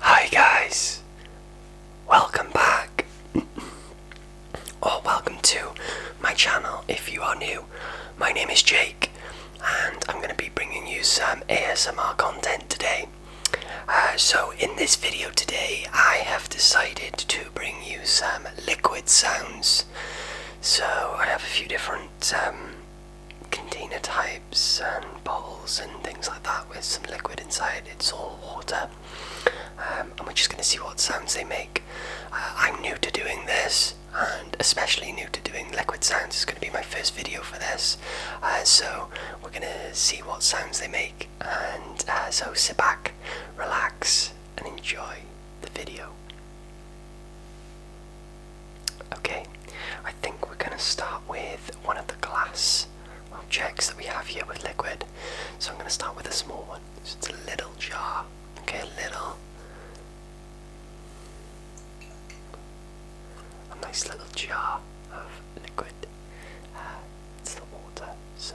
Hi guys, welcome back, or welcome to my channel if you are new. My name is Jake, and I'm going to be bringing you some ASMR content today. Uh, so, in this video today, I have decided to bring you some liquid sounds. So, I have a few different um, container types and bottles and things like that with some liquid inside. It's all water. Um, and we're just going to see what sounds they make. Uh, I'm new to doing this and especially new to doing liquid sounds. It's going to be my first video for this. Uh, so we're going to see what sounds they make. And uh, so sit back, relax, and enjoy the video. Okay, I think we're going to start with one of the glass objects that we have here with liquid. So I'm going to start with a small one. it's a little jar. Okay, little. A nice little jar of liquid. Uh, it's the water, so.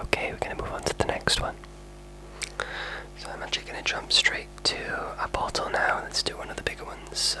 Okay, we're going to move on to the next one. So I'm actually going to jump straight to a bottle now. Let's do one of the bigger ones. So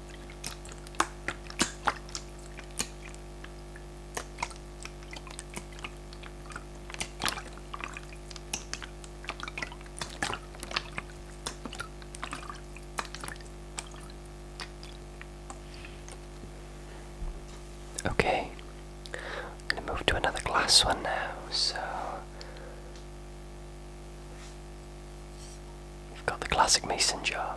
Okay, I'm going to move to another glass one now. So We've got the classic mason jar.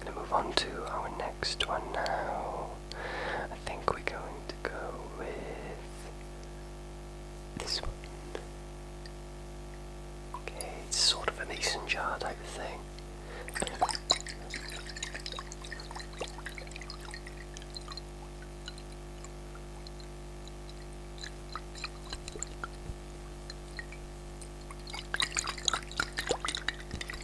Gonna move on to our next one now. I think we're going to go with this one. Okay, it's sort of a mason jar type of thing.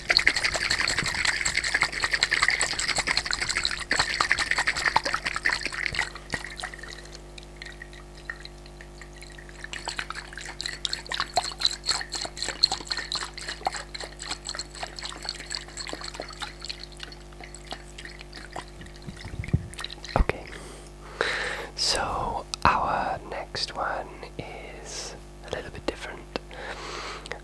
Okay, so our next one is a little bit different.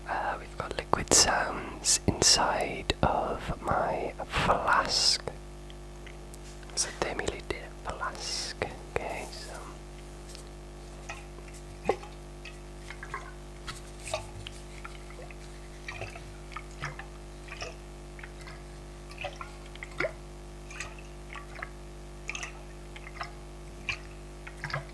Uh, we've got liquid sounds inside of my flask. So thermally did flask. Okay,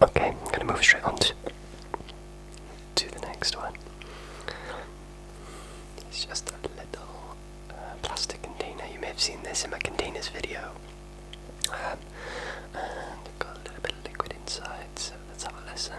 Okay, I'm going to move straight on to, the next one. It's just a little uh, plastic container. You may have seen this in my containers video. Um, and got a little bit of liquid inside, so let's have a listen.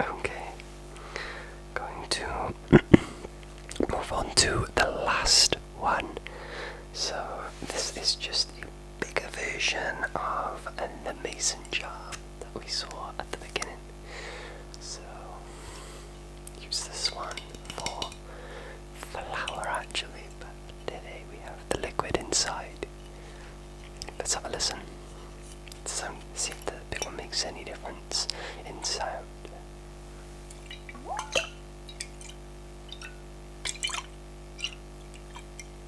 Okay, going to move on to the last one. So, this is just a bigger version of an mason jar that we saw at the beginning. So, use this one for flower, actually, but today we have the liquid inside. Let's have a listen. So, see if the big one makes any difference in sound.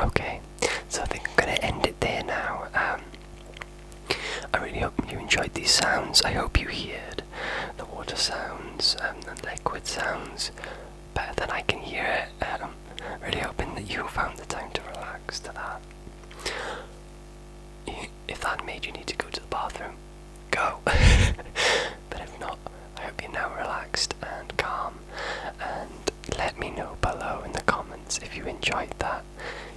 Okay, so I think I'm going to end it there now. Um, I really hope you enjoyed these sounds. I hope you heard the water sounds and the liquid sounds better than I can hear it. Adam. Um, really hoping that you found the time to relax to that. If that made you need to go to the bathroom, go. but if not, I hope you're now relaxed and calm. And let me know below in the comments if you enjoyed that,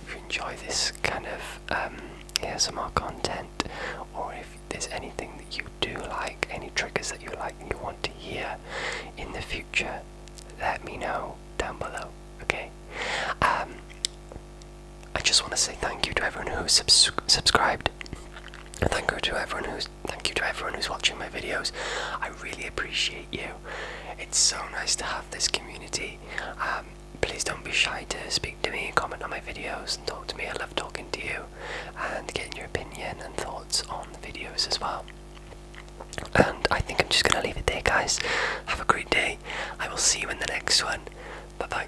if you enjoy this kind of um, ASMR content, or if there's anything that you do like, any triggers that you like and you want to hear in the future, let me know down below, okay? Um, I just want to say thank you to everyone who subscribed thank you to everyone who's thank you to everyone who's watching my videos. I really appreciate you. It's so nice to have this community. Um, please don't be shy to speak to me, comment on my videos, and talk to me. I love talking to you and getting your opinion and thoughts on the videos as well. And I think I'm just gonna leave it there, guys. Have a great day. I will see you in the next one. Bye bye.